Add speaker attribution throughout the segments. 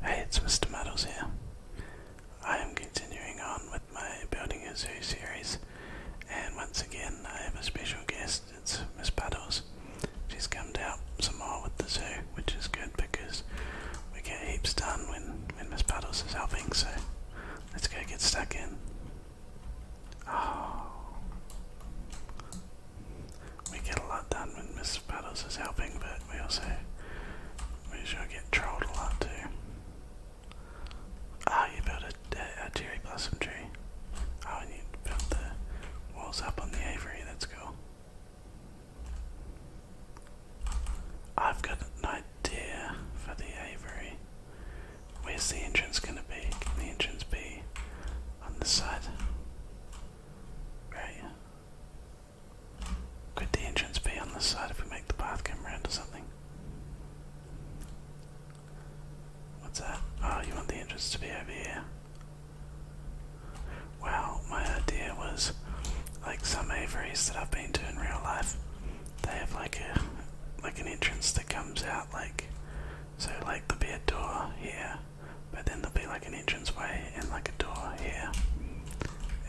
Speaker 1: Hey, it's Mr. Muddles here. I am continuing on with my Building a Zoo series, and once again I have a special guest. It's Miss Paddles. She's come out some more with the zoo, which is good because we get heaps done when, Miss Paddles is helping, so let's go get stuck in. Oh we get a lot done when Miss Puddles is helping, but we also we sure get trolled a lot too. Ah, oh, you built a, cherry blossom tree. Oh, and you built the walls up on the aviary. That's cool. I've got an idea for the aviary. Where's the entrance going to be? Can the entrance be on the side? Right. Could the entrance be on this side if we make the path come around or something? What's that? Oh, you want the entrance to be over here. Wow, my idea was like some aviaries that I've been doing real life, they have like a like an entrance that comes out like so like the beer door here but then there'll be like an entrance way and like a door here.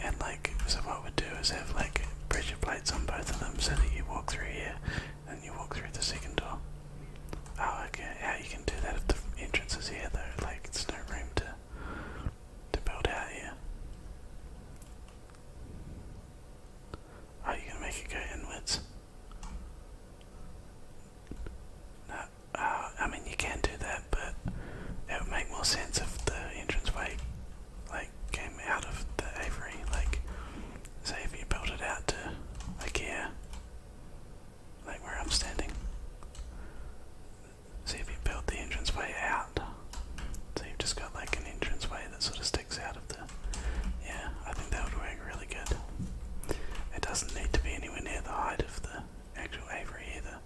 Speaker 1: And like, so what we do is have like pressure plates on both of them so that you walk through here and you walk through the second door. Oh, okay. How you can do that if the entrance here though? Like, it's no room to to build out here. Oh, you can make it go inwards. I mean you can do that, but it would make more sense if the entranceway like came out of the Avery. Like, say if you built it out to like here, like where I'm standing. See if you build the entranceway out. So you've just got like an entranceway that sort of sticks out of the. Yeah, I think that would work really good. It doesn't need to be anywhere near the height of the actual Avery either.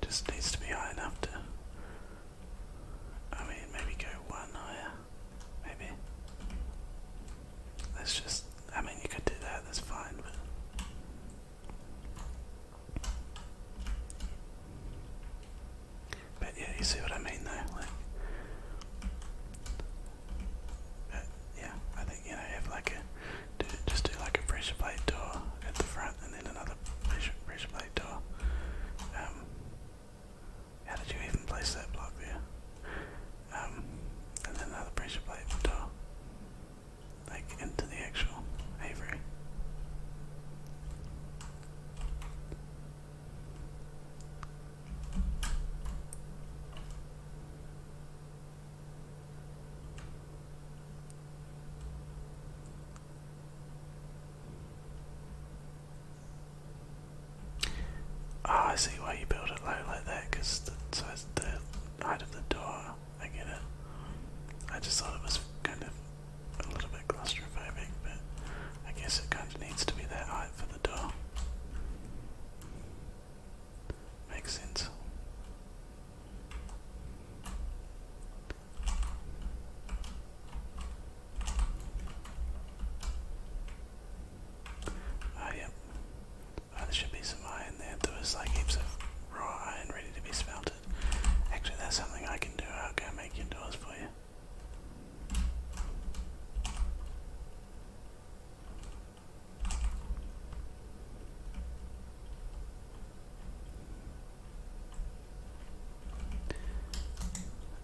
Speaker 1: Just needs to be high enough to. I mean, maybe go one higher. Maybe. let just. I mean, you could do that, that's fine, but. But yeah, you see what I mean though? Like, but yeah, I think, you know, have like a just do like a pressure plate door at the front and then another pressure, pressure plate door. Um, how did you even place that block there? Um, and then another pressure plate door, like into the actual Avery. Ah, I see why you build it low like that, because the size of the height of the door. I get it. I just thought it was kind of a little bit claustrophobic, but I guess it kind of needs to be that height for the door. Makes sense. Oh, yep. Oh, there should be some iron there. There was like heaps of raw iron ready to be smelted. Actually, that's something I can do. I'll go make your doors for you.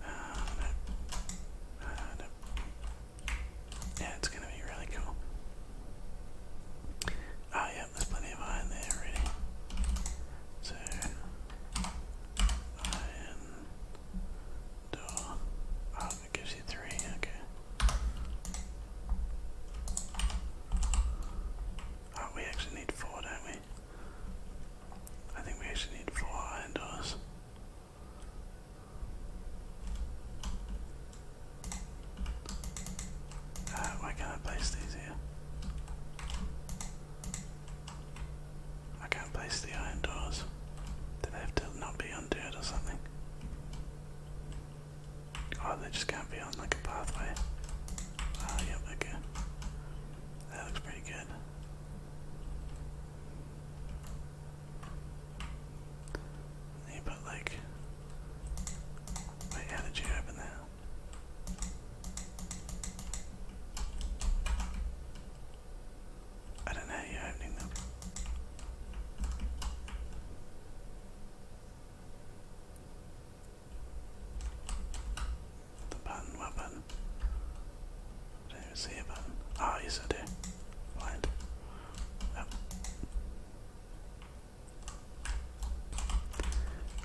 Speaker 1: Uh, Yeah, it's gonna be really cool. Oh yeah, there's plenty of iron there already. So iron door. Oh, it gives you three, okay. Oh, we actually need four, don't we? I think we actually need four iron doors. Uh, why can I place these here? I can't place the iron doors. Do they have to not be undead or something? Oh, they just can't be on like a pathway. oh, yep, okay. That looks pretty good. Yeah, but like, wait, how did you open that? I don't know you opening them. The button, what button? don't even see a button. Oh, yes I do. Blind. Yep.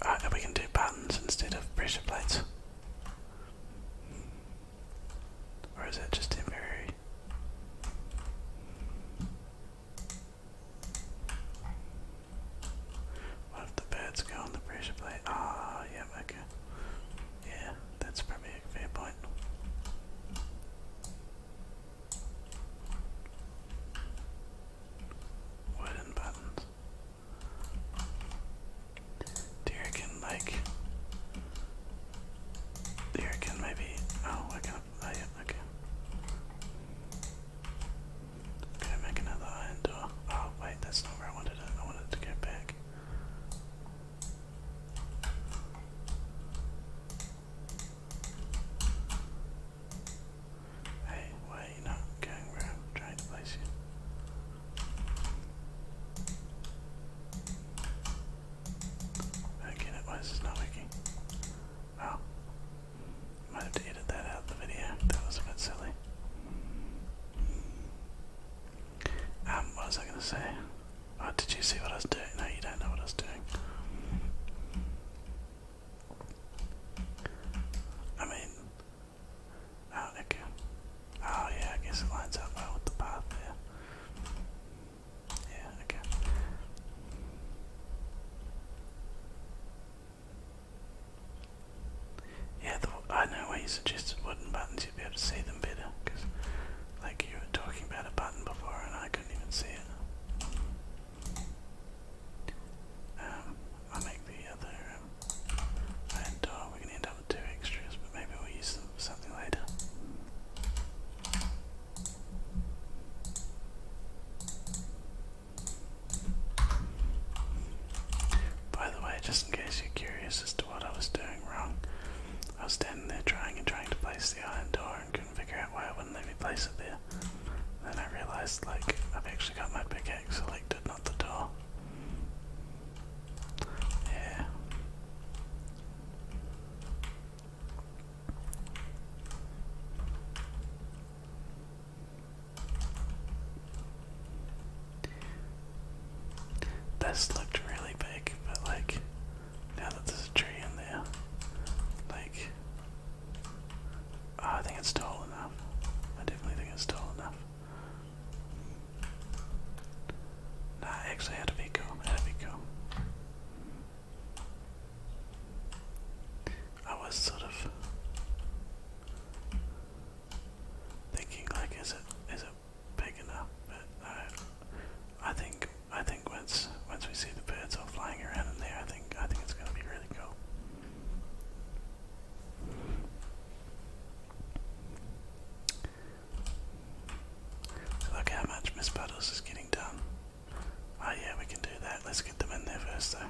Speaker 1: Alright, we can do buttons instead of pressure plates. Or is that just temporary? What if the birds go on the pressure plate? Ah, oh, yeah, okay. Yeah, that's probably a fair point. Wooden buttons. Do you like, do you maybe, oh, I can't, oh yeah, okay. Can make another iron door? Oh wait, that's not where I wanted it. I wanted it to go back. Hey, why are you not going where trying to place you? Again, it was not working. Oh. Might have to that out of the video. That was a bit silly. Um, what was I gonna say? Oh, did you see what I was doing? No, you don't know what I was doing. I mean, Oh, oh yeah, I guess it lines up well with the path there. Yeah, okay. Yeah, I know why you suggested wooden buttons, you'd be able to see them better, because, like, you were talking about a button before and I couldn't even see it. Um, i make the other um, We're going to end up with two extras, but maybe we'll use them for something later. By the way, just in case you're curious as to what I was doing wrong, I was standing there trying and trying to place the iron door and couldn't figure out why it wouldn't let me place it there. Then I realized, like, I've actually got my pickaxe selected, not the door. Yeah. This looked really big, but like now that there's a tree in there, like oh, I think it's tall enough. I definitely think it's tall enough. Nah, actually, that'd be cool. That'd be cool. I was sort of thinking like is it is it big enough but no I think I think once once we see the birds all flying around in there I think I think it's gonna be really cool. Look how much Miss Puddles is getting done. Oh yeah, we can do that. Let's get them in there first though.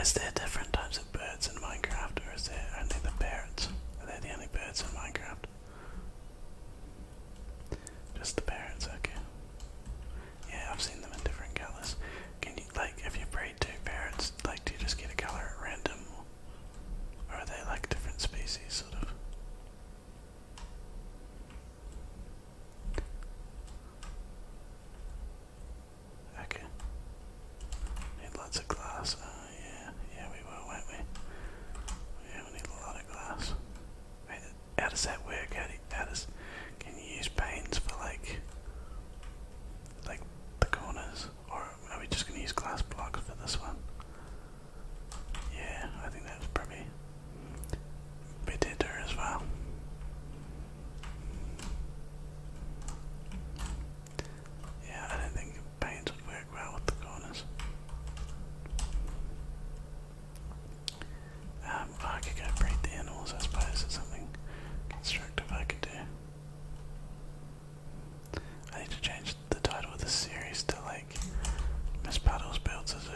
Speaker 1: Is there different types of birds in Minecraft, or is there only the parrots? Are they the only birds in Minecraft? Just the parrots, okay. Yeah, I've seen them in different colors. Can you, like, if you breed two parrots, like, do you just get a color at random? Or are they, like, different species, sort of? Okay. Need lots of glass. Oh, yeah, yeah we will, won't we? Yeah, we need a lot of glass. how does that work? How, how does? Can you use panes for like, like the corners, or are we just going to use glass blocks for this one? Yeah, I think that's probably better as well. Yeah, I don't think paint would work well with the corners. Um, I could go breed the animals, I suppose, it's something constructive I could do. I need to change the title of this series to like Miss Puddles Builds a Zoo.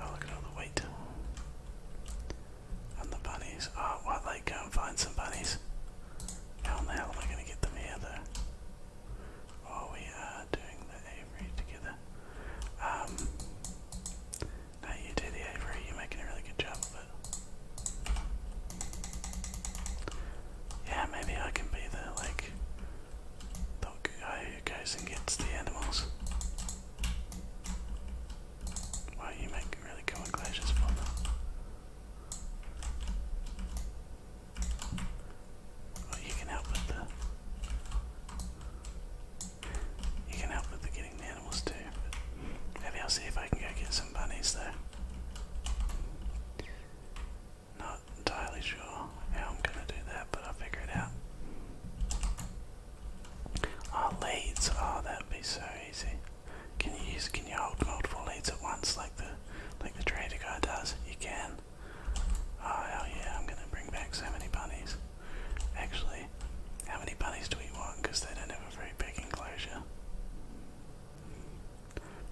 Speaker 1: Oh, look at all the wheat. And the bunnies. Oh, why well, they go and find some bunnies? How in the hell am I going to get them here, though? Oh, we are doing the aviary together. Um, no, you do the aviary. You're making a really good job of it. Yeah, maybe I can be the like the guy who goes and gets the animals. Wow, you make really cool glaciers for them. you can help with the. You can help with the getting the animals too. maybe I'll see if I can go get some bunnies there. Not entirely sure how I'm going to do that, but I'll figure it out. Our leads, oh that'd be so easy. Can you use, can you hold multiple leads at once like the, like the trader guy does? You can. Oh hell yeah, I'm going to bring back so many bunnies. Actually, how many bunnies do we want? Because they don't have a very big enclosure.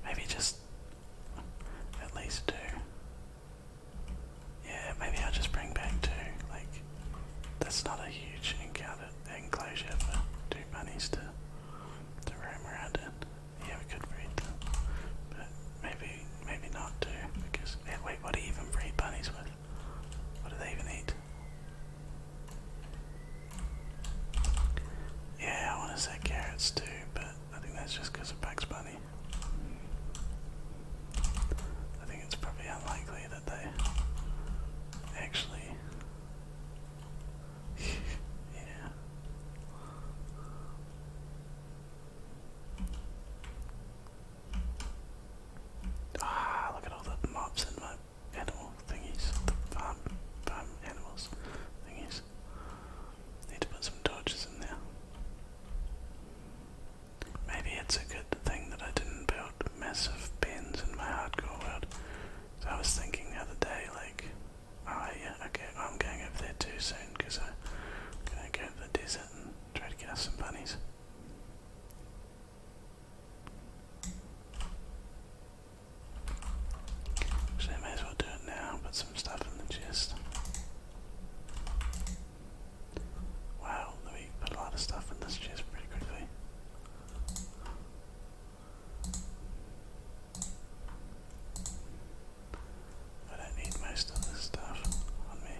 Speaker 1: Maybe just at least two. Yeah, maybe I'll just bring back two. Like, that's not a huge encounter, enclosure for two bunnies to, to roam around in. Yeah, we could breed them, but maybe maybe not two because wait, what do you even breed bunnies with? What do they even eat? Yeah, I want to say carrots too, but I think that's just because of Bugs Bunny. I think it's probably unlikely that they actually. yeah. Ah, look at all the mobs in my animal thingies. farm, farm animals thingies. Need to put some torches in there. Maybe it's a good thing that I didn't build massive pens in my hardcore world. So I was thinking the other day, like, oh yeah, okay, I'm going up there too soon because I'm going to go to the desert and try to get us some bunnies. Actually, may as well do it now, but stuff in the chest. Wow, we put a lot of stuff in this chest pretty quickly. I don't need most of this stuff on me.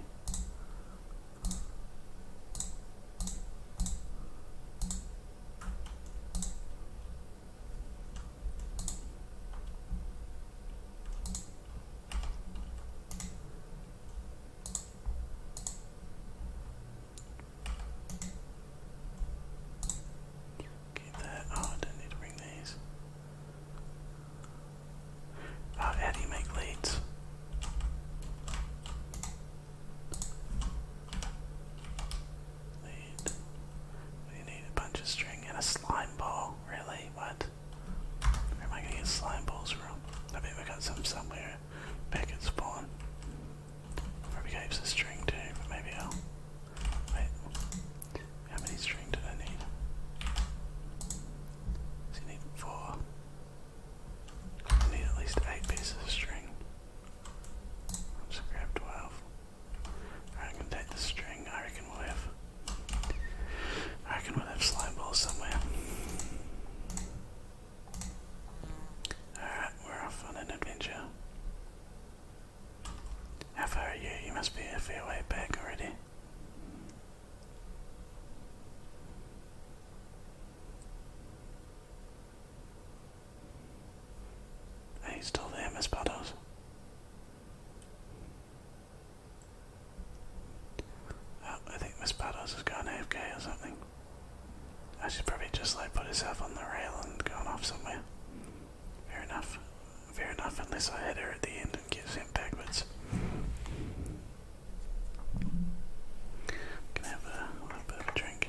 Speaker 1: Get that. Oh, I not need to bring these. Uh, how do you make leads? Lead. We need a bunch of string and a slime ball. Really? What? Where am I gonna get slime balls from? I bet we got some somewhere back at spawn. Probably got heaps of string too, but maybe I'll. Wait. How many string do I need? So you need four. I need at least eight pieces of string. i grab twelve. I'm take the string. I reckon we I reckon we slime balls somewhere. Alright, we're off on an adventure. How far are you? You must be a fair way back already. Are you still there, Miss Puddles? Oh, I think Miss Pados has gone AFK or something. I should probably just like put herself on the rail and gone off somewhere. Fair enough. Fair enough, unless I hit her at the end and get sent backwards. Can have a little bit of a drink?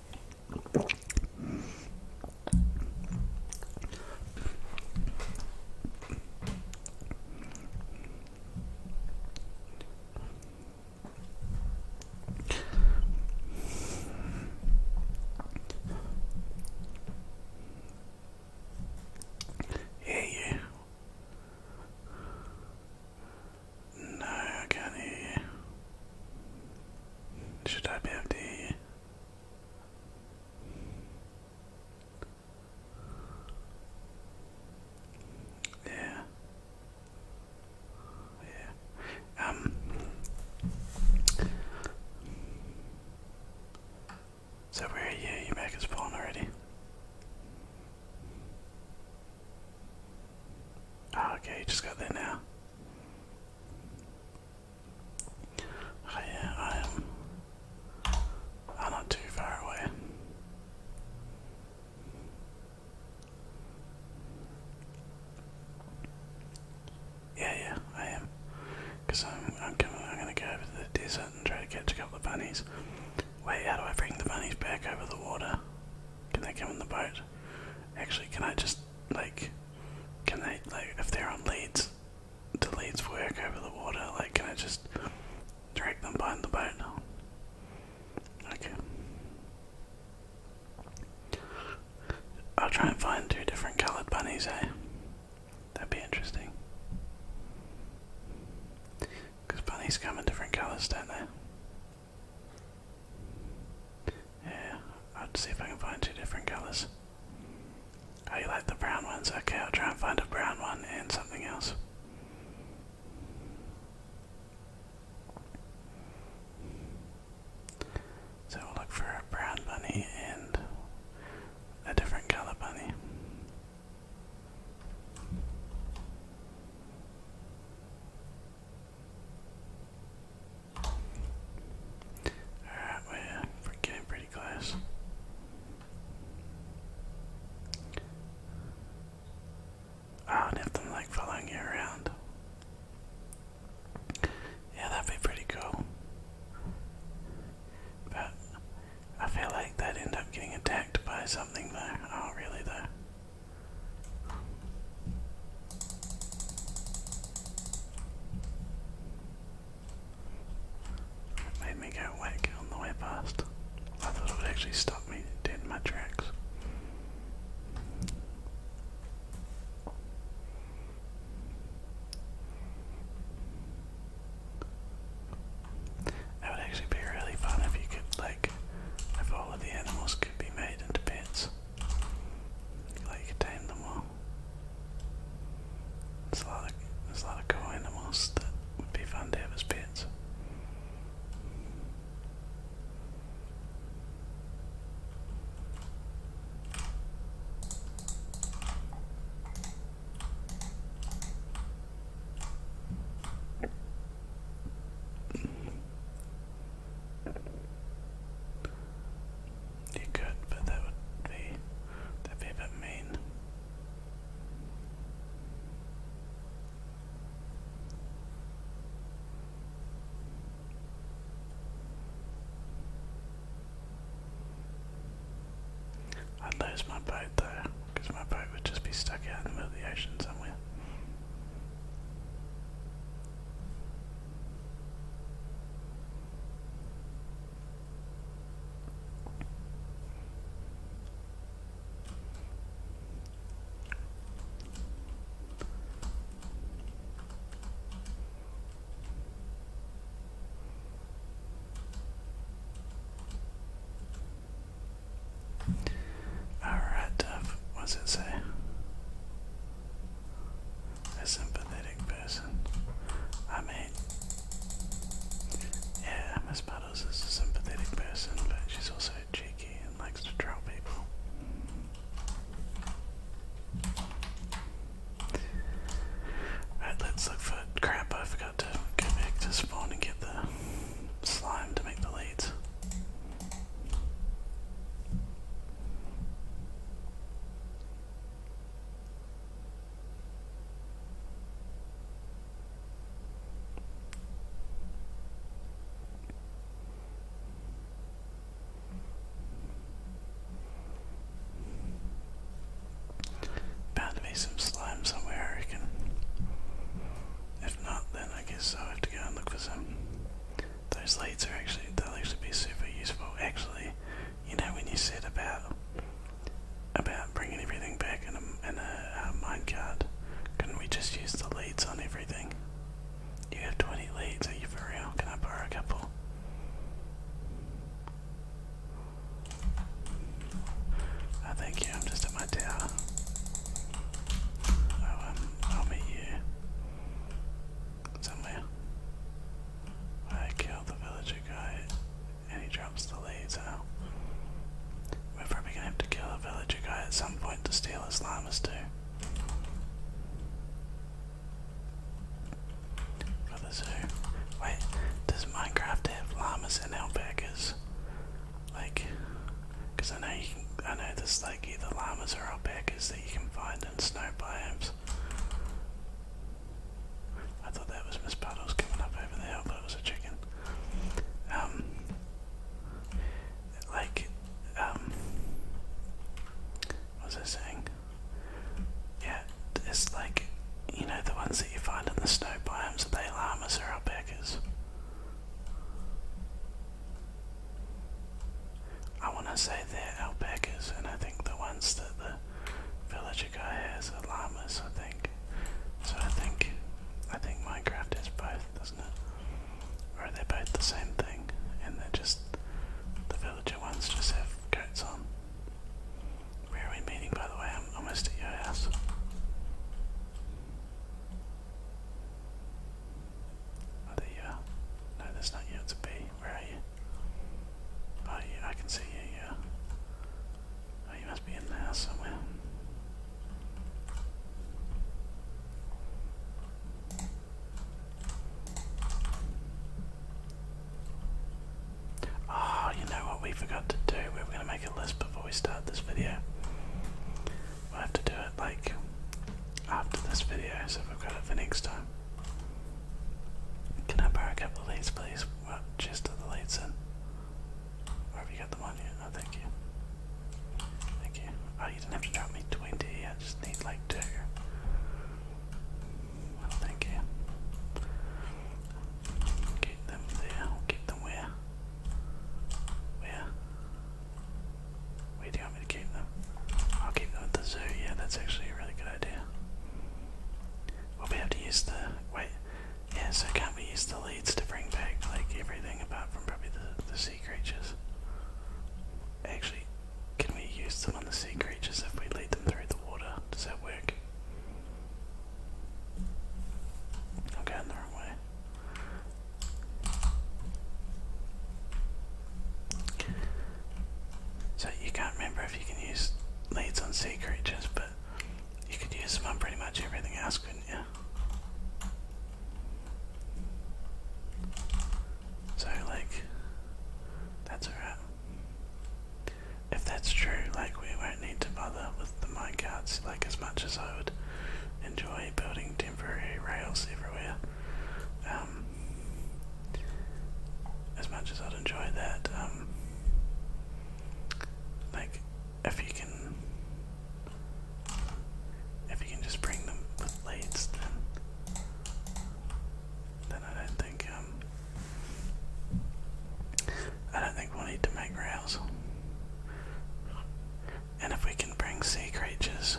Speaker 1: Yeah, yeah. No, I can't hear you. Should I be able you? Yeah. Yeah. Um So where are you? you Your back is fallen already. Oh, okay, you just got there now. Oh uh, yeah, I am. I'm not too far away. Yeah, yeah, I am. Cause I'm, I'm coming. I'm gonna go over to the desert and try to catch a couple of bunnies. Wait, how do I bring the bunnies back over the water? Can they come in the boat? Actually, can I just like, can they, like, if they're on leads, do leads work over the water? Like, can I just drag them behind the boat? Okay. I'll try and find two different coloured bunnies, eh? That'd be interesting. Because bunnies come in different colours, don't they? Yeah, I'll see if I can find two different colors. Oh, you like the brown ones? Okay, I'll try and find a brown one and something else. So we'll look for a brown bunny and a different color bunny. Alright, we're, getting pretty close. Ah, I do have them like following you around. Yeah, that'd be pretty cool. But I feel like they'd end up getting attacked by something though. Oh, really though made me go whack on the way past. I thought it would actually stop me dead in my tracks. It would actually be really fun if you could, like, if all of the animals could be made into pets. Like, tame them all so there's a lot of, there's a lot of cool animals that would be fun to have as pets. You could, but that would be that'd be a bit mean. I'd lose my boat though, because my boat would just be stuck out in the middle of the ocean somewhere. Alright, Duff, what's it say? A sympathy person. I mean, yeah, Miss Puddles is a sympathetic person, but she's also cheeky and likes to troll people. Right, let's look for crap. I forgot to go back to spawn and get the slime to make the leads. Bound to some slime somewhere, I reckon. If not, then I guess I'll have to go and look for some. Those leads are actually, they'll actually be super useful. Actually, you know when you said about about bringing everything back in a, in a uh, minecart, couldn't we just use the leads on everything? You have 20 leads, are you for real? Can I borrow a couple? I thank you, I'm just at my tower. Oh, um, I'll meet you somewhere. I killed the villager guy and he drops the laser. We're probably gonna have to kill a villager guy at some point to steal his lamas too. For the Wait, does Minecraft have llamas and alpacas? Like, cause I know you can, I know there's like either llamas or alpacas that you can find in snow biomes. I thought that was Miss Puddles coming up over there, hill, but it was a chicken. Um, like, um, what was I saying? Yeah, it's like, you know, the ones that you find in the snow biomes, are they llamas or alpacas? I want to say they're alpacas, and I think the ones that the villager guy has are llamas. I think. So I think, I think Minecraft is both, doesn't it? Or are they both the same thing? And they're just the villager ones just have coats on. Where are we meeting, by the way? I'm almost at your house. Oh, there you are. No, that's not you, it's a where are you? Oh, I can see you, yeah. Oh, you must be in the somewhere. Oh, you know what we forgot to do? We were going to make a list before we start this video. we have to do it like after this video, so we've got it for next time. Can I borrow a couple of these, please? just the lights in. have you got them on you? Oh, thank you. Thank you. Oh, you didn't have to drop me 20. I just need like two. Well, thank you. Keep them there. We'll keep them where? Where? Where do you want me to keep them? I'll keep them at the zoo. Yeah, that's actually a really good idea. We'll be able to use the wait. Yeah, so can we use the leads to bring back like everything apart from probably the the sea creatures? Actually, can we use them on the sea creatures if we lead them through the water? Does that work? I'm going the wrong way. So you can't remember if you can use leads on sea creatures, but you could use them on pretty much everything else, couldn't you? So, like, that's alright. If that's true, like, we won't need to bother with the mine minecarts, like, as much as I would enjoy building temporary rails everywhere. Um, as much as I'd enjoy that, um, like if you can, if you can just bring them with leads, then then I don't think um, I don't think we'll need to make rails. And if we can bring sea creatures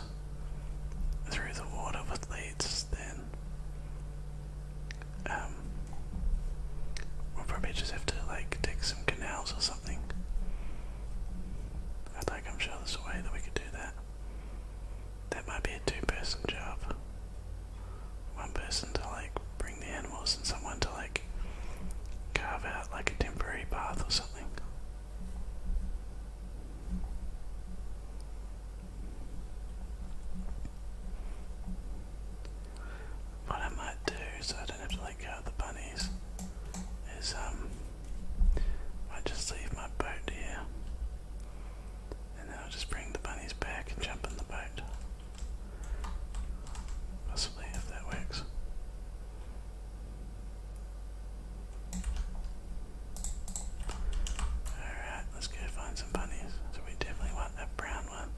Speaker 1: through the water with leads, then we'll um, probably just have to like dig some canals or something. I'd I'm sure there's a way that we could do that. That might be a two-person job. One person to like bring the animals and someone to like carve out like a temporary path or something. What I might do, so I don't have to let go the bunnies, is um, I just leave my boat here, and then I'll just bring the bunnies back and jump in the boat. Possibly, if that works. Alright, let's go find so we definitely want that brown one.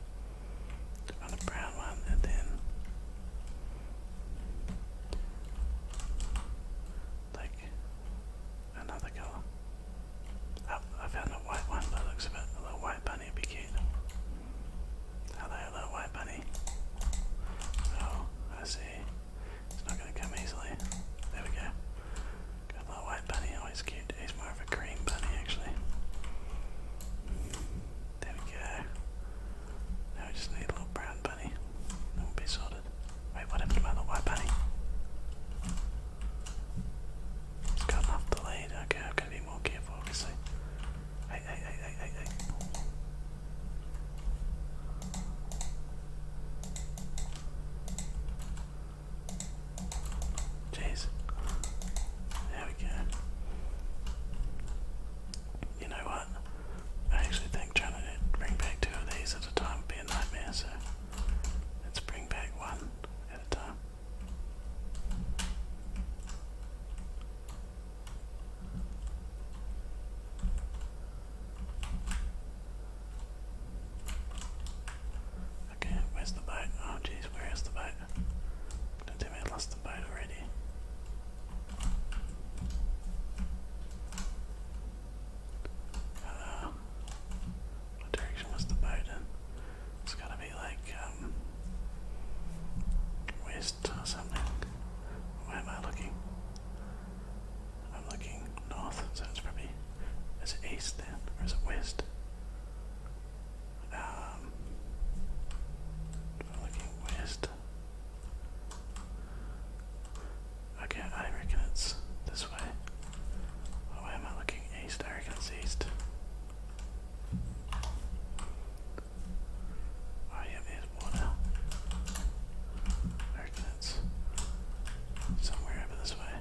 Speaker 1: want a brown one, and then like another color. Oh, I found a white one that looks a bit. A little white bunny would be cute. Hello, little white bunny. Oh, I see. It's not going to come easily. There we go. Got my white bunny, always cute. He's more of a green bunny, actually. There we go. Now we just need a little brown bunny. That will be sorted. Wait, what happened to my little white bunny? It's gotten off the lead. Okay, I've got to be more careful, obviously. Hey, hey, hey, hey, hey, hey. Jeez. There we go. You know what? I actually think trying to bring back two of these at a time would be a nightmare, so let's bring back one at a time. Okay, where's the boat? Oh jeez, where is the boat? Don't tell me I lost the boat already. Uh, what direction was the boat in? It's gotta be like, um, west or something. Where am I looking? I'm looking north, so it's probably. Is it east then? Or is it west? Um, looking west. Okay, I reckon it's this way. why am I looking east? I reckon it's east. Oh, yeah, there's water. I reckon it's somewhere over this way.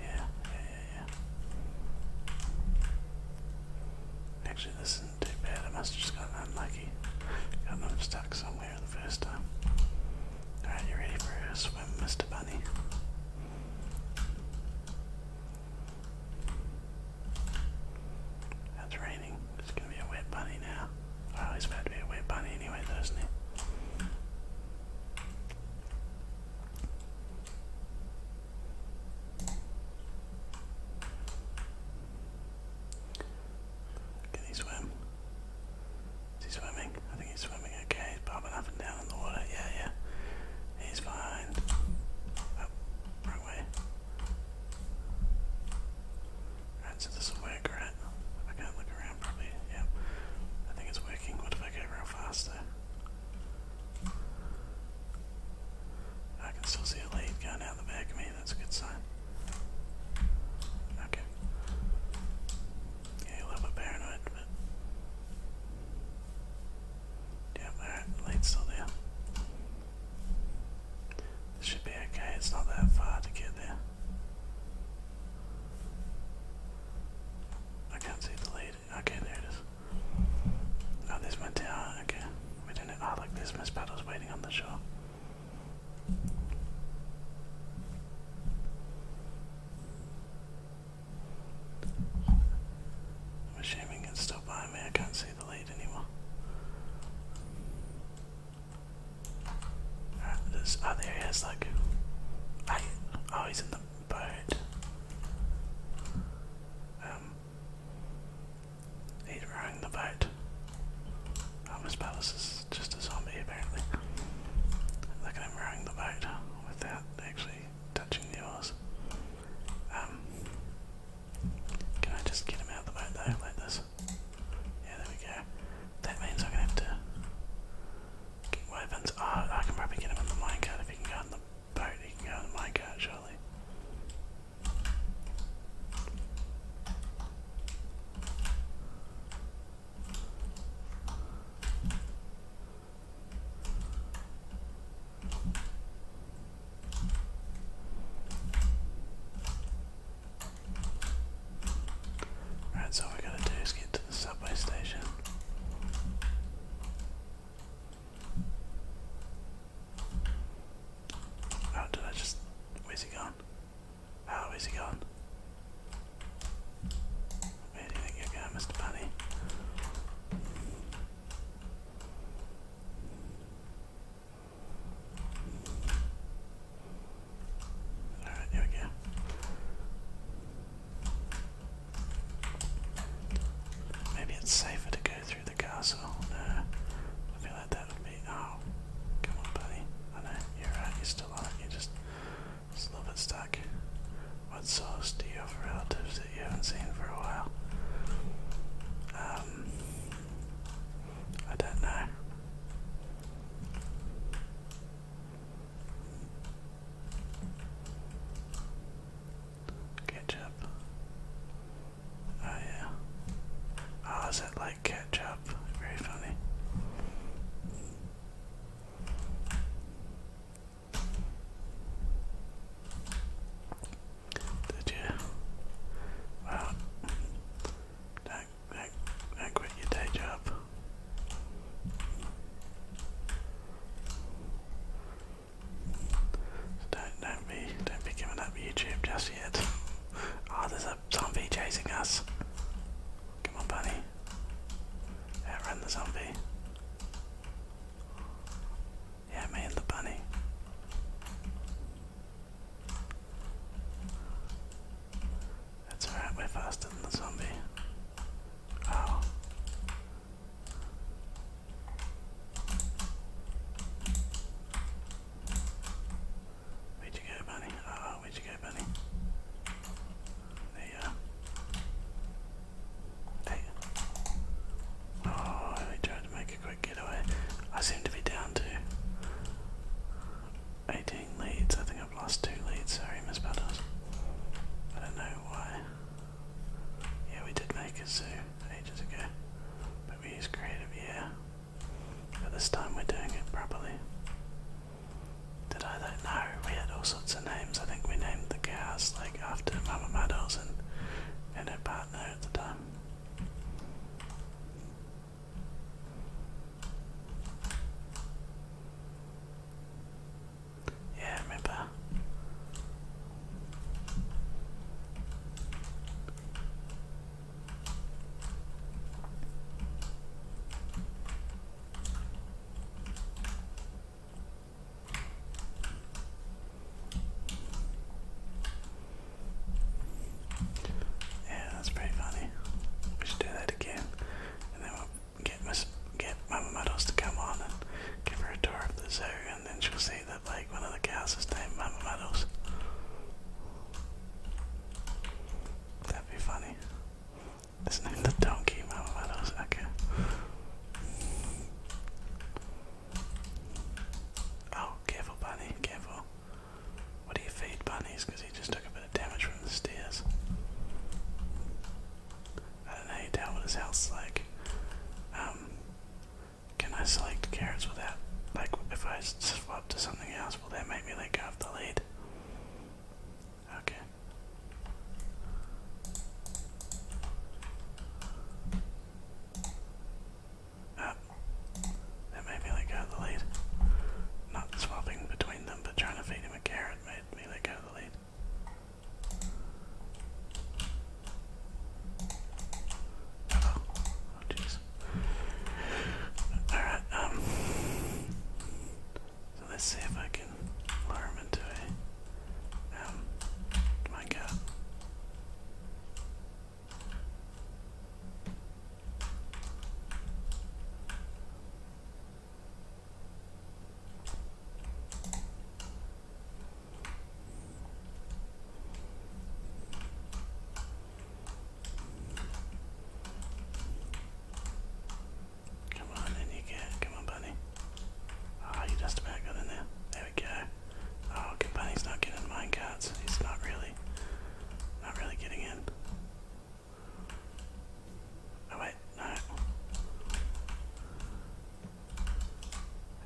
Speaker 1: Yeah, yeah, yeah, yeah. Actually, this isn't too bad. I must have just gotten unlucky. Got them stuck somewhere the first time. Alright, you ready for a swim, Mr. Bunny? That's raining. It's gonna be a wet bunny now. Well, about to be a wet bunny anyway, though, not he? Can he swim? Is he swimming? I think he's swimming. Okay, he's bobbing up and down in the water. Yeah, yeah. He's fine. Oh, wrong way. Alright, so this is where I at. I can't around probably. Yep. I think it's working. What if I go around faster? I can still see a lead going out the back of me. That's a good sign. Okay. Yeah, a little bit paranoid, but... yeah. alright, the lead's still there. This should be okay, it's not that far to get there. I can't see the lead. Okay, there it is. Oh, there's my tower. Ah, okay, we don't know. Ah, oh, look, there's Miss Battles waiting on the shore. I'm still behind me. I can't see the lead anymore. Alright, there's. Oh, there he is, look. oh, he's in the but um, he's rowing the boat. Thomas um, Palace is just a zombie apparently. Look at him round the boat without actually touching the oars. Um, can I just get him out of the boat though, like this? Yeah, there we go. That means I'm gonna have to weapons. Oh, I can probably get him in the minecart if he can go in the boat. He can go in the minecart, surely. Right, so we gotta do is to the subway station. Oh, did I just. Where's he gone? Oh, he gone? Where do you think you're going, Mr. Bunny? Alright, here we go. Maybe it's safer to go through the castle. I feel like that would be. Oh, come on, buddy. I know you're right. you still on it. you just, just a little stuck. What source do you have relatives that you haven't seen for a while? Um, I don't know. Ketchup. Oh yeah. Oh, is it like ketchup? Very funny. Did you? Well, don't, quit your day job don't don't be don't be giving up YouTube just yet. Ah, there's a zombie chasing us. Come on, bunny. Outrun the zombie. Yeah, me and the bunny. That's alright, we're faster than the zombie. Oh. Where'd you go, bunny? Oh, where'd you go, bunny? There you are. There Oh, we tried to make a quick getaway. I seem to be down to 18 leads. I think I've lost two leads, sorry Miss Mispeldos. I don't know why. Yeah, we did make a zoo ages ago, but we used creative, yeah. But this time we're doing it properly. Did I don't know. we had all sorts of names. I think we named the cows like after Mama Meadows and, and her partner at the time. Yeah, remember. Yeah, that's pretty funny. We should do that again, get Miss get Mama Meadows to come on and give her a tour of the zoo, and then she'll see that like one of the cows is named Mama Meadows. That'd be funny. It's named the donkey Mama Meadows. Okay. Oh, careful, bunny, careful. What do you feed bunnies? Because he just took a bit of damage from the stairs. I don't know down what his house like. Um, can I select carrots without, like, if I swap to something else, will that make me like go off the lead? Okay. Ah, that made me let go of the lead. Not swapping between them, but trying to feed him a carrot made me let go of the lead. Alright, um let's see if I can lure into it. um my god. Come on, in you get. Come on, bunny. Ah, oh, you just about got there. There we go. Oh, good bunny's not getting mine carts. He's not really, not really getting in. Oh wait, no.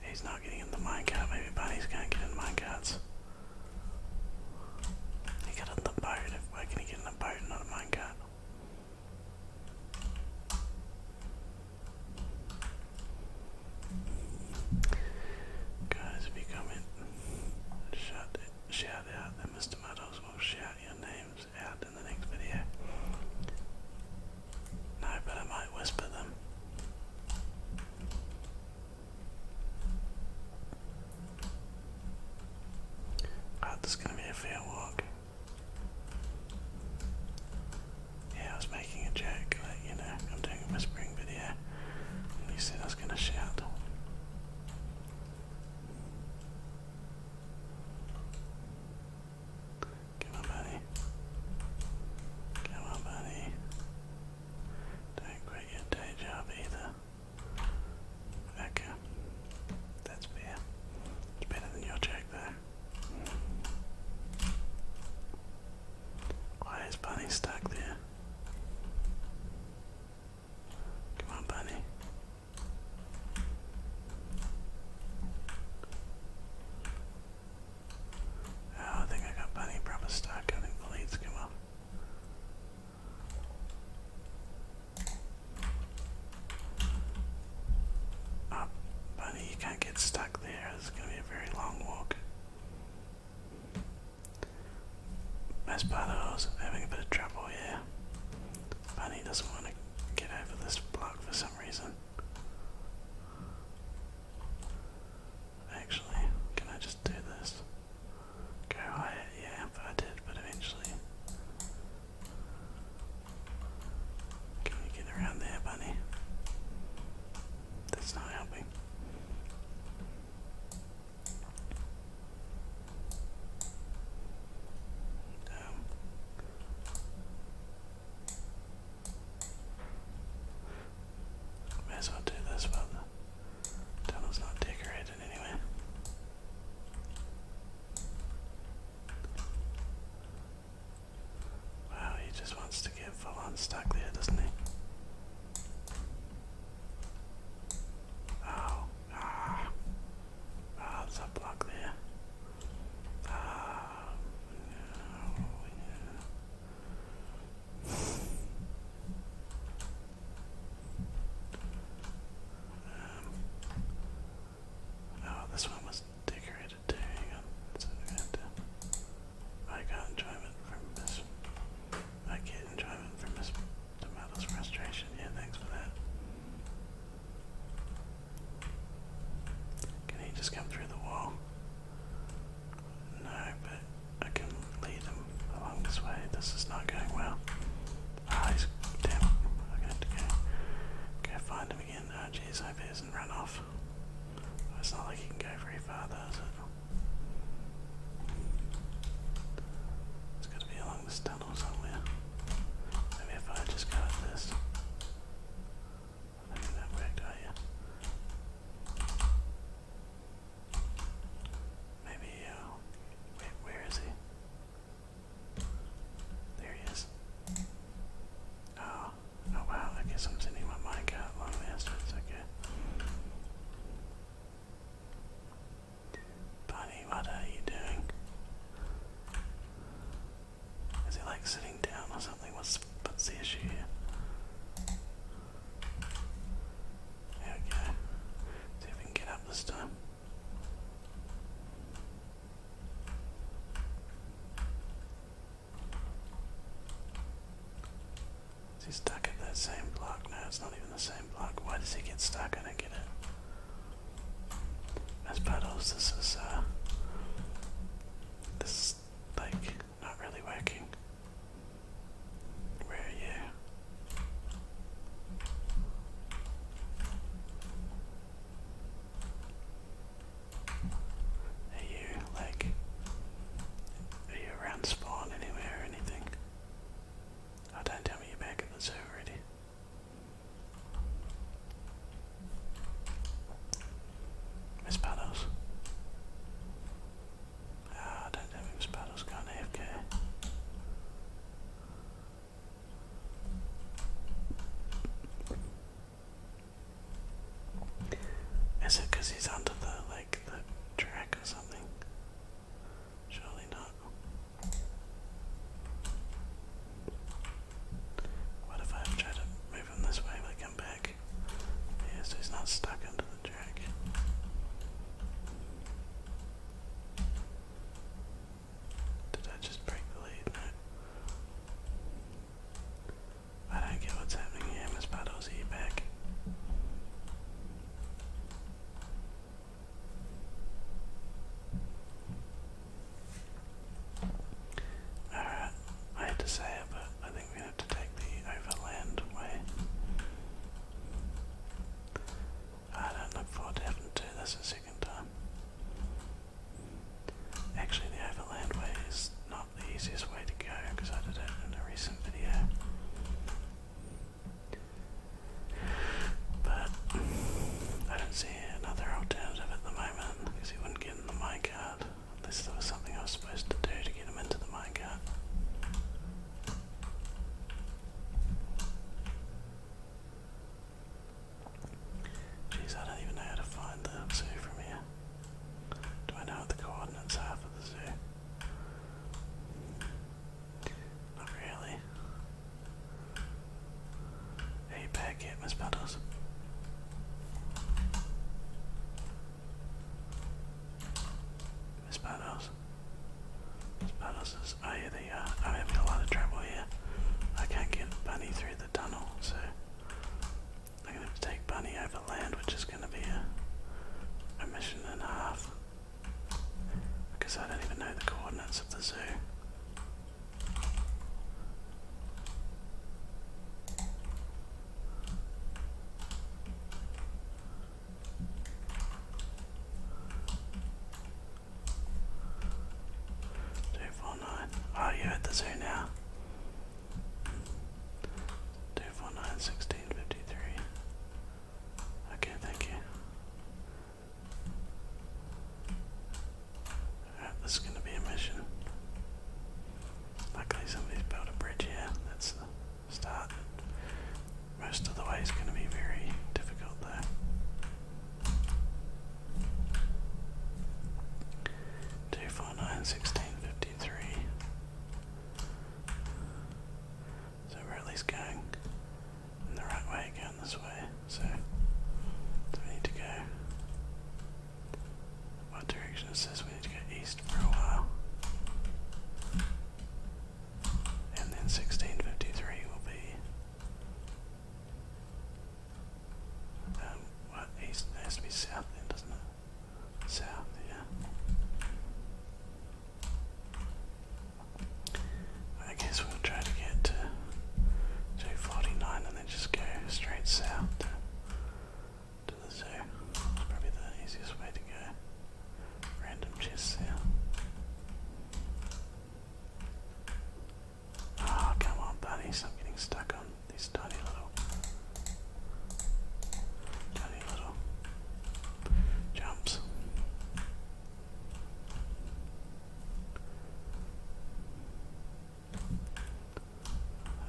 Speaker 1: He's not getting in the Maybe bunnies can't get in minecarts. He got in the boat. Why can he get in a boat, not a minecart? Guys, if you comment, shout, shout out that Mr. Meadows will shout your names out in the next video. No, but I might whisper them. Ah, this is going to be a fair walk. Yeah, I was making a joke, like, you know, I'm doing a whispering video, and said I was going to shout. Come on, buddy. Come on, buddy. Don't quit your day job either. Okay. That's fair. It's better than your check, though. Why is Bunny stuck there? Come on, Bunny. Oh, I think I got Bunny Brahma stuck. I think the leads come up. Oh, Bunny, you can't get stuck there. It's going to be a very long walk. Best part of having a bit of trouble Yeah. Bunny doesn't want to get over this block for some reason. Actually, can I just do this? Go higher? Yeah, I did, but eventually. Can you get around there, bunny? That's not helping. Um, as well do this, but tunnel's not decorated anyway. Wow, he just wants to get full on stuck there, doesn't he? Oh, Ah, there's a block there. Ah, oh, um, oh, this one was decorated too. I, to, enjoyment from this. I get enjoyment from this tomato's frustration. Yeah, thanks for that. Can he just come through the wall? No, but I can lead him along this way. This is not going well. Ah, he's damn. I'm to go, go find him again. Oh ah, jeez, he doesn't run off. It's not like he can go very far though, is it? It's to be along this tunnel somewhere. Maybe if I just go this. I do that wrecked, are you? Maybe uh, where is he? There he is. Oh, oh wow, I guess I'm sending my mind out long distance, okay. Bunny, what are you doing? Is he like sitting down or something? What's the issue here? There we go. See if we can get up this time. Is he stuck at that same block? No, it's not even the same block. Why does he get stuck? I don't get it. As pedals, this is uh this is like not really working. Where are you? Are you like are you around spawn anywhere or anything? I oh, don't tell me you're back in the zoo already. Miss Paddles. Ah, I don't know if Miss Paddles got an AFK. Is it because he's under the like the track or something? Surely not. What if I try to move him this way but come back? Yeah, he's not stuck into the track. Did I just break the lead? I don't get what's happening here, Miss Puddles, are you back? Alright, uh, I hate to say it, but I think we have to take the overland way. I don't look forward to having to do this a second time. Actually, the overland way is not the easiest way to go because I did it in a recent video. But I don't see another alternative at the because he wouldn't get in the minecart unless there was something I was supposed to do to get him into the minecart. Jeez, I don't even know how to find the zoo from here. Do I know the coordinates half of the zoo? Not really. Hey, back here, Miss Paddles. Miss Paddles. Miss Paddles is. I'm having a lot of trouble here. I can't get Bunny through the tunnel, so I'm gonna have to take Bunny over land, which is gonna be a, a mission and a half. Because I don't even know the coordinates of the zoo. Two four nine. Oh, you're at the zoo now. Two four nine sixteen fifty three. Okay, thank you this is going to be a mission. Luckily somebody's built a bridge here. That's the start. Most of the way is going to be very difficult though. Two four nine sixteen fifty three. So we're at least going in the right way, going this way. so we need to go what direction it says We need to go east for a while. And then 1653 will be. Um, what? East? has to be south then, doesn't it? South, yeah. I guess we'll try to get to 249 just go straight south to, the zoo. probably the easiest way to go. Random chests there. Oh, come on, buddies. I'm getting stuck on these tiny little. tiny little. jumps.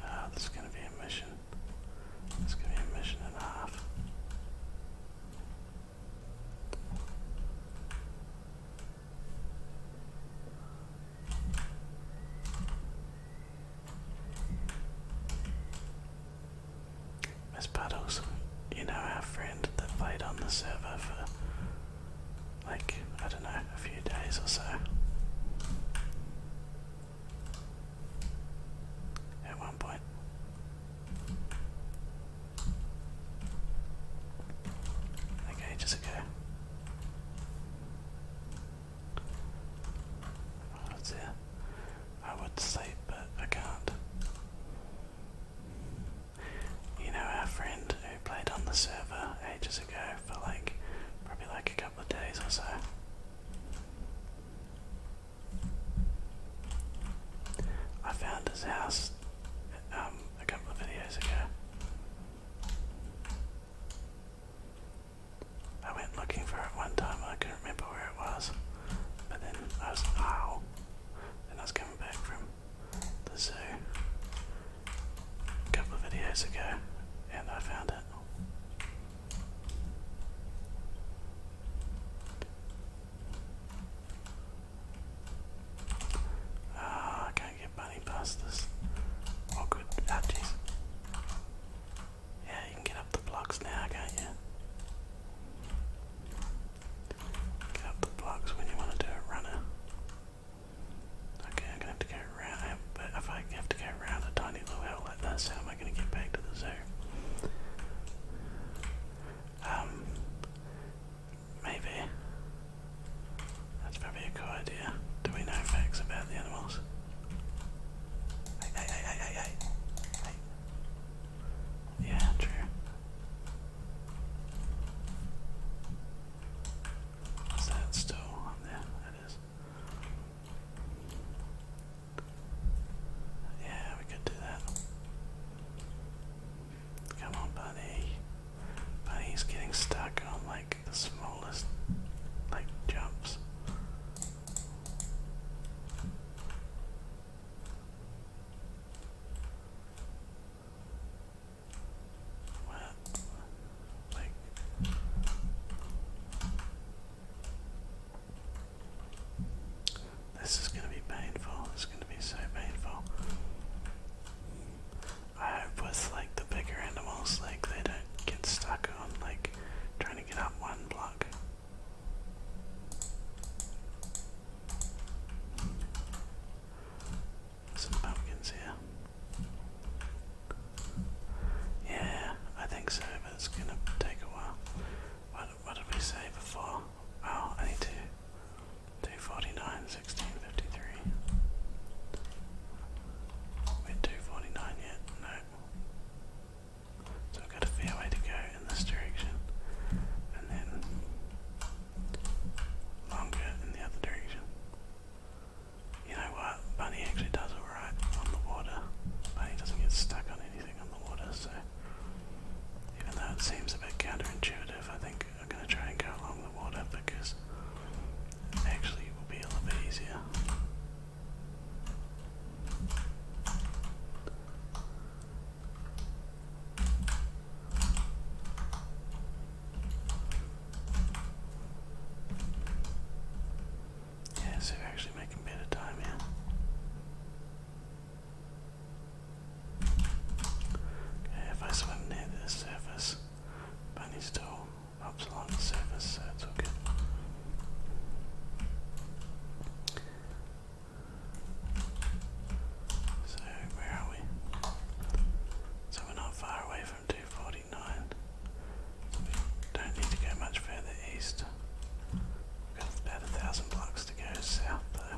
Speaker 1: Oh, this is gonna be a mission. This is gonna be a mission and a half. Miss Puddles, you know our friend that played on the server for like, I don't know, a few days or so. At one point. Like ages ago. Oh, it's I would sleep, but I can't. You know, our friend who played on the server ages for like probably like a couple of days or so. I found his house um, a couple of videos ago. I went looking for it one time I couldn't remember where it was. But then I was ow. Then I was coming back from the zoo a couple of videos ago, and I found it. Ah, I can't get money past this. Oh, good. Ah, jeez. Yeah, you can get up the blocks now, can't you? Get up the blocks when you want to do a runner. Okay, I'm gonna have to go around, but if I have to go around a tiny little like that's how am I gonna get back to the zoo? Um, maybe. That's probably a cool idea. Do we know facts about the animals? hey, hey, hey, hey. hey. Yeah, true. Is that still on there? That is. Yeah, we could do that. Come on, buddy. Buddy's getting stuck on like the smallest like jumps this is going to be painful. This is going to be so painful. I hope with like the bigger animals, like they don't get stuck on like trying to get up one block some pumpkins here. Yeah, I think so, but it's gonna take a while. What, what did we say before? Oh, I need to do 49, 16, 53. We're 249 yet? No. So I've got a fair way to go in this direction, and then longer in the other direction. You know what? Bunny actually does alright on the water. Bunny doesn't get stuck on anything on the water, so even though it seems a bit counterintuitive, I think I'm going to try and go along the water because actually it will be a little bit easier. Yeah, so are actually making a time here. Okay, if I swim near the surface, Bunny's toe hops along the surface, so it's okay. So where are we? So we're not far away from 240 49. don't need to go much further east. got about a thousand blocks to go south though.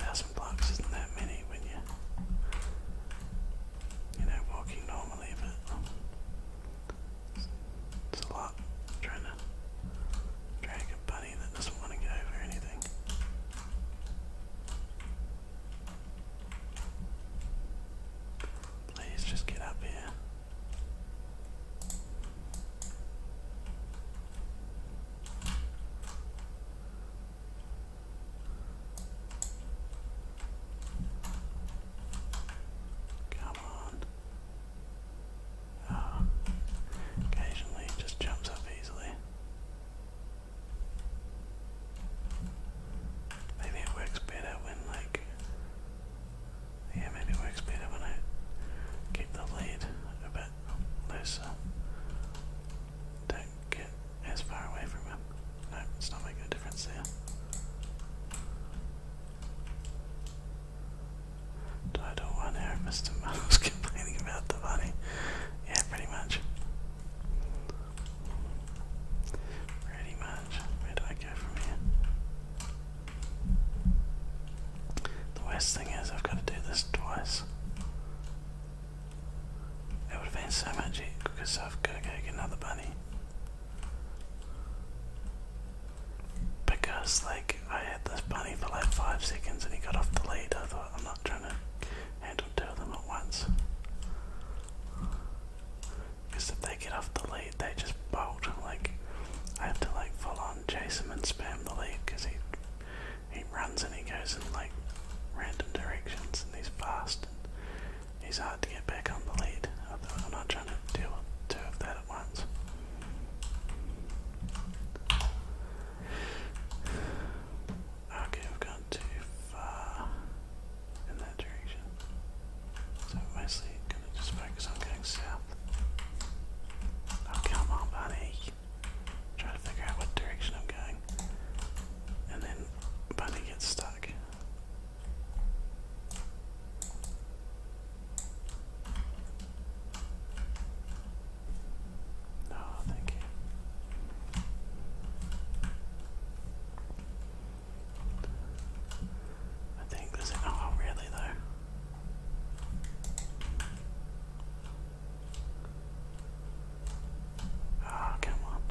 Speaker 1: thousand blocks isn't that many when you you know walking normally but it's, a lot trying to drag a bunny that doesn't want to go over anything. Please just get up here. Come on. Ah. Occasionally it just jumps up easily. Maybe it works better when like yeah, maybe it works better when I keep the lead a bit looser. Don't get as far away from him. No, it's not making a difference there. Title one Arab Mr. Muddle's complaining about the money. Yeah, pretty much. Pretty much. Where do I go from here? The worst thing is I've got to do this twice. It would have been so much because I've got to get another bunny. Because, like, I had this bunny for like 5 seconds and he got off the lead. I thought, I'm not trying to handle two of them at once. Because if they get off the lead, they just bolt. Like I have to like fall on chase him and spam the lead because he he runs and he goes in like random directions and he's fast and he's hard to get back on the lead. Otherwise, I'm not trying to deal with two of that at once. Okay, I've gone too far in that direction. So I'm gonna just focus on going south. Oh come on, Bunny. Try to figure out what direction I'm going. And then Bunny gets stuck. Oh, thank you. I think there's a oh really though. Ah, come on.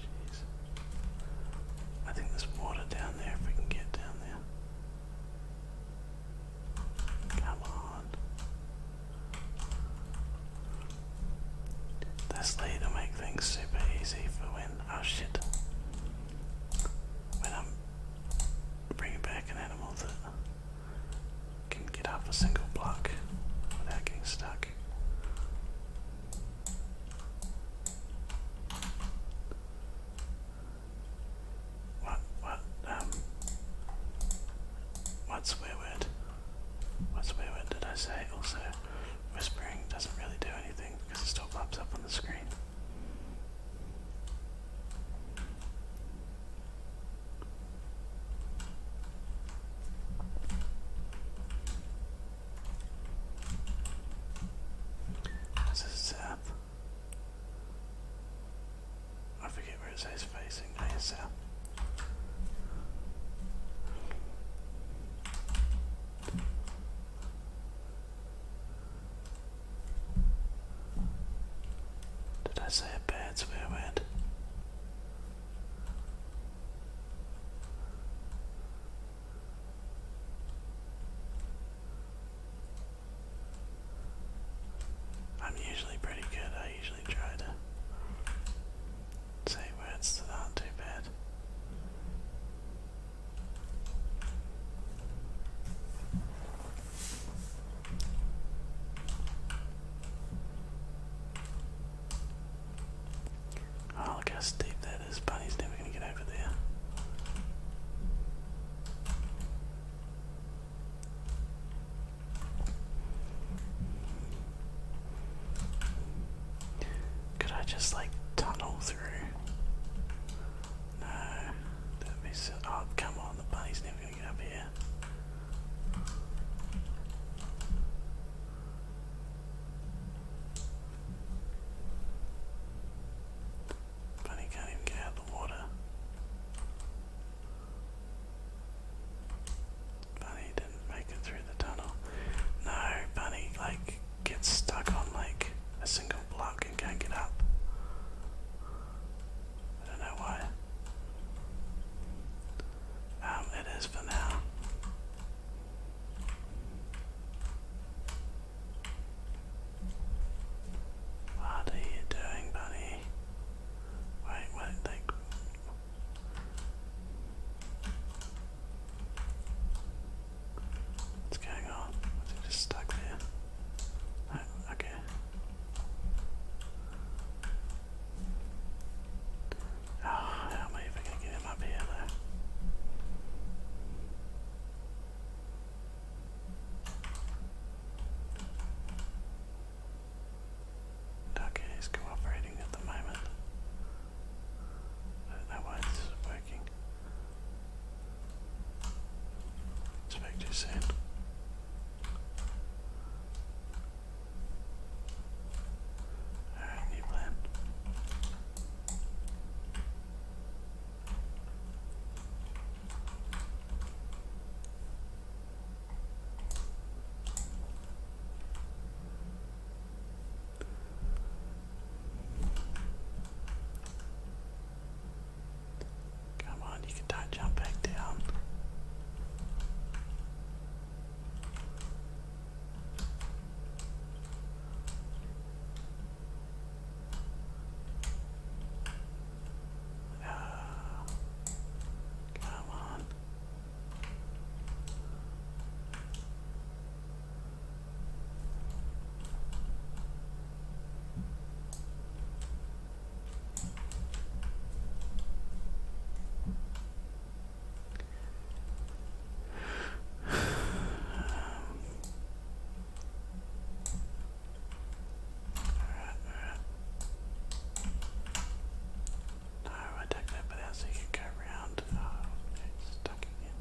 Speaker 1: Jeez. I think there's water down there if we can get down there. Come on. This will make things super easy for when oh shit. When I'm bringing back an animal that can get up a single block without getting stuck. What? What? Um. What's swear word? What swear word did I say? Also, whispering doesn't really do anything because it still pops up on the screen. This is south. I forget where it says facing south. Did I say a bad swear word? I'm usually pretty good. I usually try to say words that aren't too bad. Oh, look how steep that is. Bunny's never going to get over there. Could I just like tunnel through? No, that'd be so. Oh, come on, the bunny's never gonna get up here. Bunny can't even get out of the water. Bunny didn't make it through the tunnel. No, Bunny like gets stuck on like a single block and can't get up. I don't know why. Um, it is for now. What are you doing, Bunny? Wait, wait, What's going on? Was just stuck there? Oh, okay. Oh, how am I get him up here Okay, is cooperating at the moment. I do working. Speak too new plan. Come on, you can not jump back down. No. Come on. Um, Alright, alright. No, I take that bit out you go around. Oh, it's stuck again.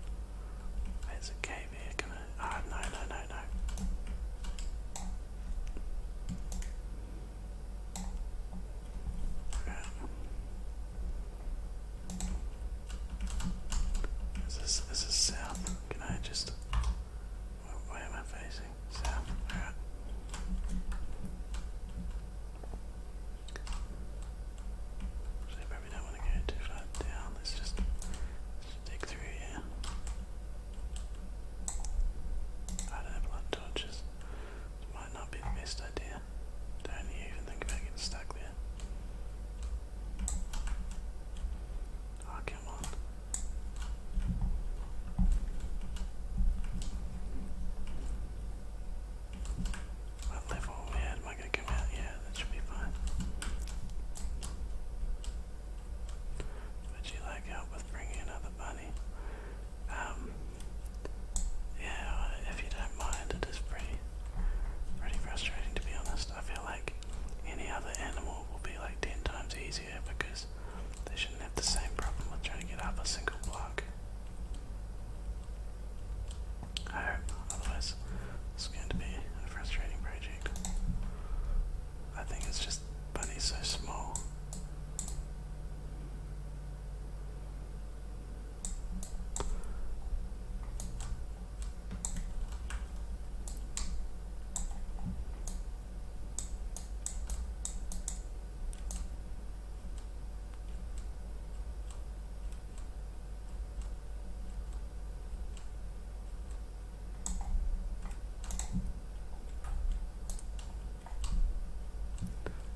Speaker 1: There's a cave here, can I? Oh, no, no, no, no. Right. Is this is south? Can I just what am I facing? South. Alright. So you probably don't want to go too far down. Let's just, let through here. I don't have a torches. might not be the best idea. Don't even think about getting stuck there. Oh, come on. What level yeah, am I gonna come out? Yeah, that should be fine. Would you like help with bringing another bunny? Um, yeah, if you don't mind, it is pretty, pretty frustrating to be honest. I feel like any other animal will be like ten times easier because they shouldn't have the same problem with trying to get off a single block. I otherwise it's going to be a frustrating project. I think it's just Bunny's so small.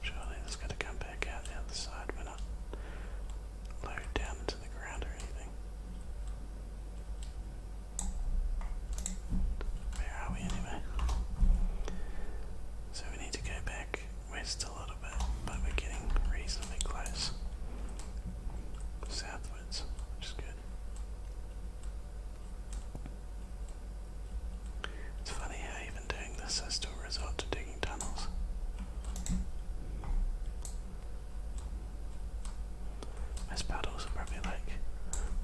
Speaker 1: Surely this got to come back out the other side. We're not low down into the ground or anything. Where are we anyway? So we need to go back west a little bit, but we're getting reasonably close. Southwards, which good. It's funny how even doing this I still resort to digging tunnels. Those paddles probably like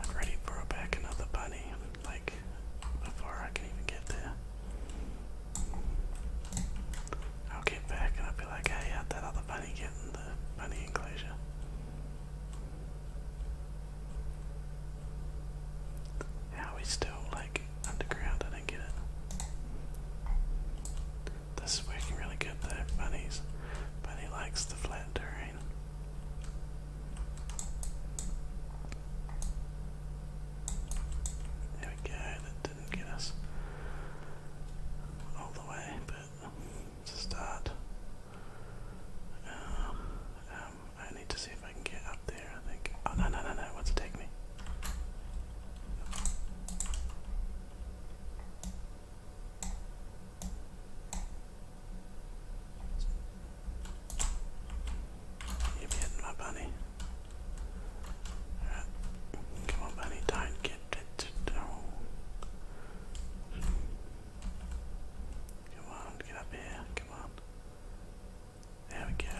Speaker 1: I've already brought back another bunny already, like, before I can even get there. I'll get back and I'll be like, hey, how'd that other bunny get in the bunny enclosure? How are we still, like, underground? I don't get it. This is working really good though, bunnies. Bunny likes the flat terrain. There we go, that didn't get us all the way, but it's start. Um, um, I need to see if I can get up there, I think. Oh, no, no, no, no, what's it take me? You be hitting my bunny. Alright. Come on, bunny. Don't get it. Come on, get up here. Come on. There we go.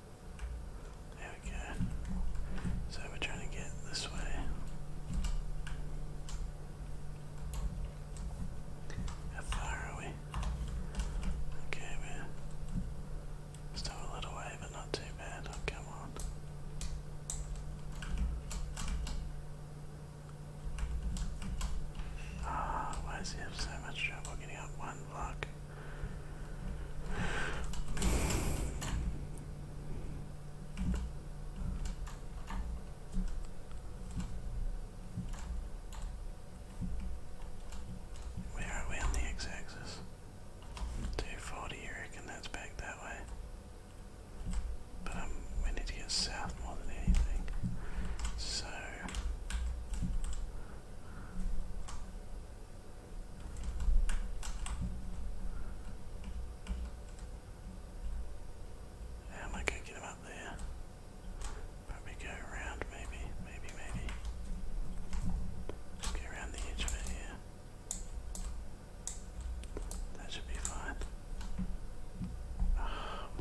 Speaker 1: There we go. So we're trying to get this way. How far are we? Okay, we're still a little way, but not too bad. Oh, come on. Ah, why does he have so much trouble getting up one block? Where are we on the x-axis? 240, you reckon that's back that way? But um, we need to get south more than anything. So am I going to get him up there? Probably go around, maybe, maybe, maybe. Just around the edge of it here. That should be fine. Ah, oh,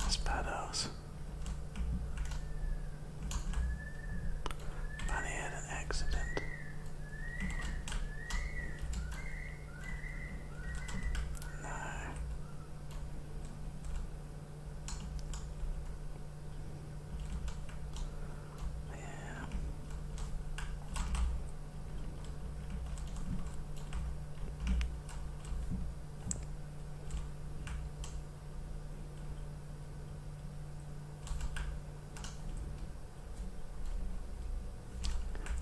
Speaker 1: That's badass. Man, had an accident. No.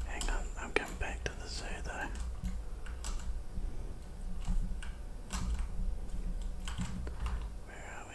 Speaker 1: Hang on, I'm coming back to the zoo though. Where are we?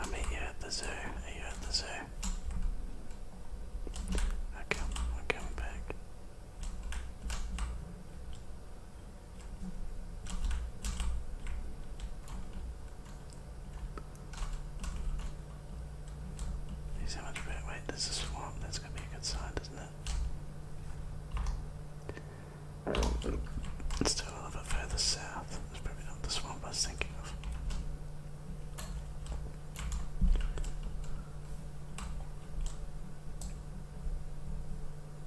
Speaker 1: I meet you at the zoo. at the zoo? I come, I come back. He's how much better. Wait, there's a swamp. That's gonna be a good sign, isn't it? Let's do a little bit further south. That's probably not the swamp I was thinking of.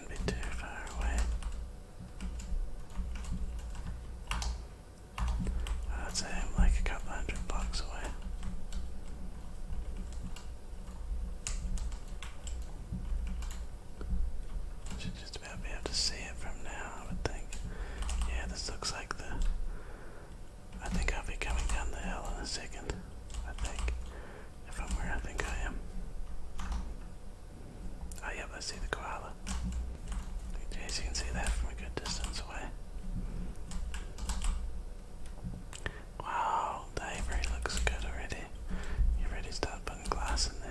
Speaker 1: I'd say I'm like a couple hundred blocks away. Should just about be able to see it from now, I would think. Yeah, this looks like the. I think I'll be coming down the hill in a second. I think. If I'm where I think I am. Oh, yep, I see the koala. In you can see that from a good distance away. Wow, ivory looks good already. You already started putting glass in there.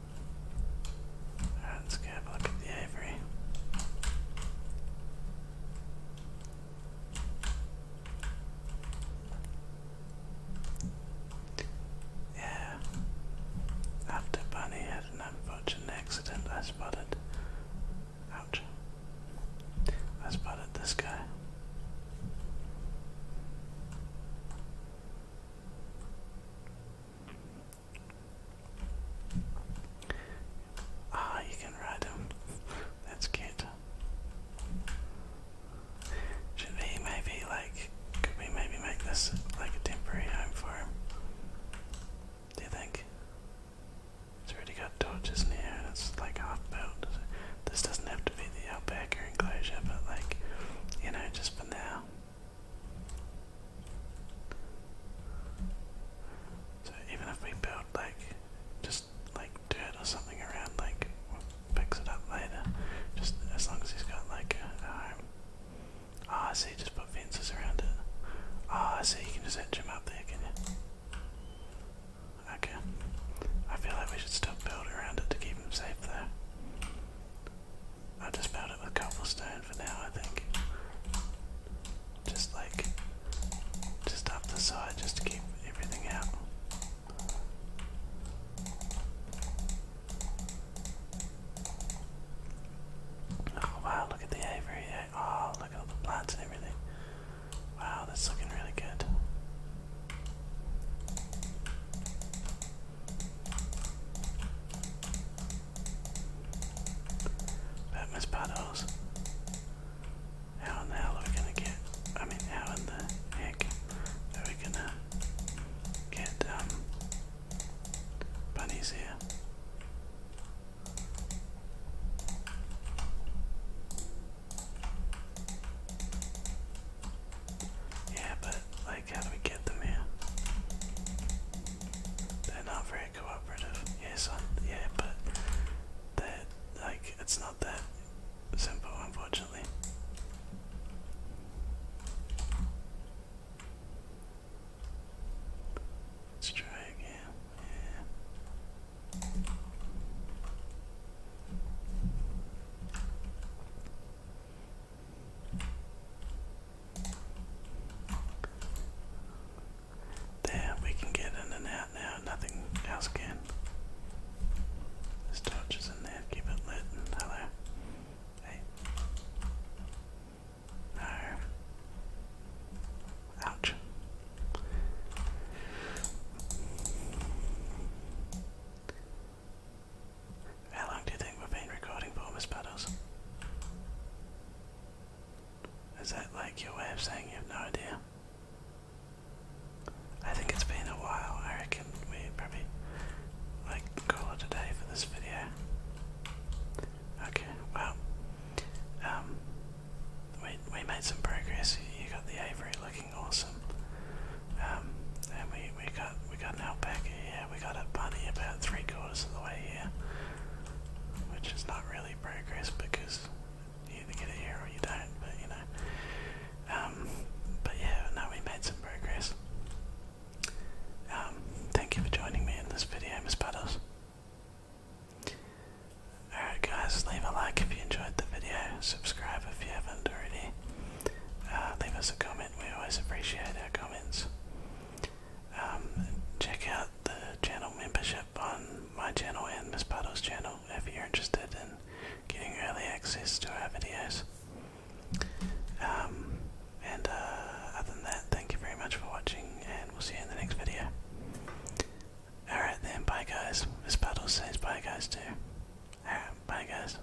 Speaker 1: Alright, let's go a look at the aviary. Yeah. After Bunny had an unfortunate accident, I spotted. Ouch. I spotted this guy. Ah, you can ride him. That's good. Should we maybe like could we maybe make this like a temporary home for him? Do you think? It's already got torches near it's like half built. This doesn't have to be the alpaca enclosure, but like, you know, just for now. So even if we build like just like dirt or something around, like we it up later. Just as long as he's got like a, home. Ah, I see. Just put fences around it. Ah, I see. You can just etch him up there, can you? Okay. I feel like we should still build around it to keep him safe, there i just build it with cobblestone for now, I think. Just like, just up the side, just to keep everything out. Oh, wow, look at the aviary. Eh? Oh, look at all the plants and everything. Wow, that's looking really good. But Miss how in the hell are we gonna get? I mean, how in the heck are we gonna get um bunnies here? Yeah, but like, how do we get them here? They're not very cooperative. Yes, yeah, but they're, like, it's not that simple, unfortunately. Let's try again. Yeah. There, we can get in and out now, nothing else can. This torch is in there, keep it lit. Hello. Hey. No. Ouch. How long do you think we've been recording for, Miss Puddles? Is that like your way of saying you have no idea? I think it's been a while. I reckon we probably like call it a day for this video. Okay, well, um, we we made some progress. You got the Avery looking awesome, um, and we we got we got an Alpaca here we got a bunny about three quarters of the way here, which is not really progress because you either get it here or you don't. But you know, um, but yeah, no, we made some progress. Um, thank you for joining me in this video, Miss Puddles. Alright guys, leave a like if you enjoyed the video, subscribe if you haven't already, uh, leave us a comment. We always appreciate our comments. Um, check out the channel membership on my channel and Miss Puddle's channel if you're interested in getting early access to our videos. Um, and uh, other than that, thank you very much for watching, and we'll see you in the next video. Alright then, bye guys. Miss Puddles says bye guys too. Alright, bye guys.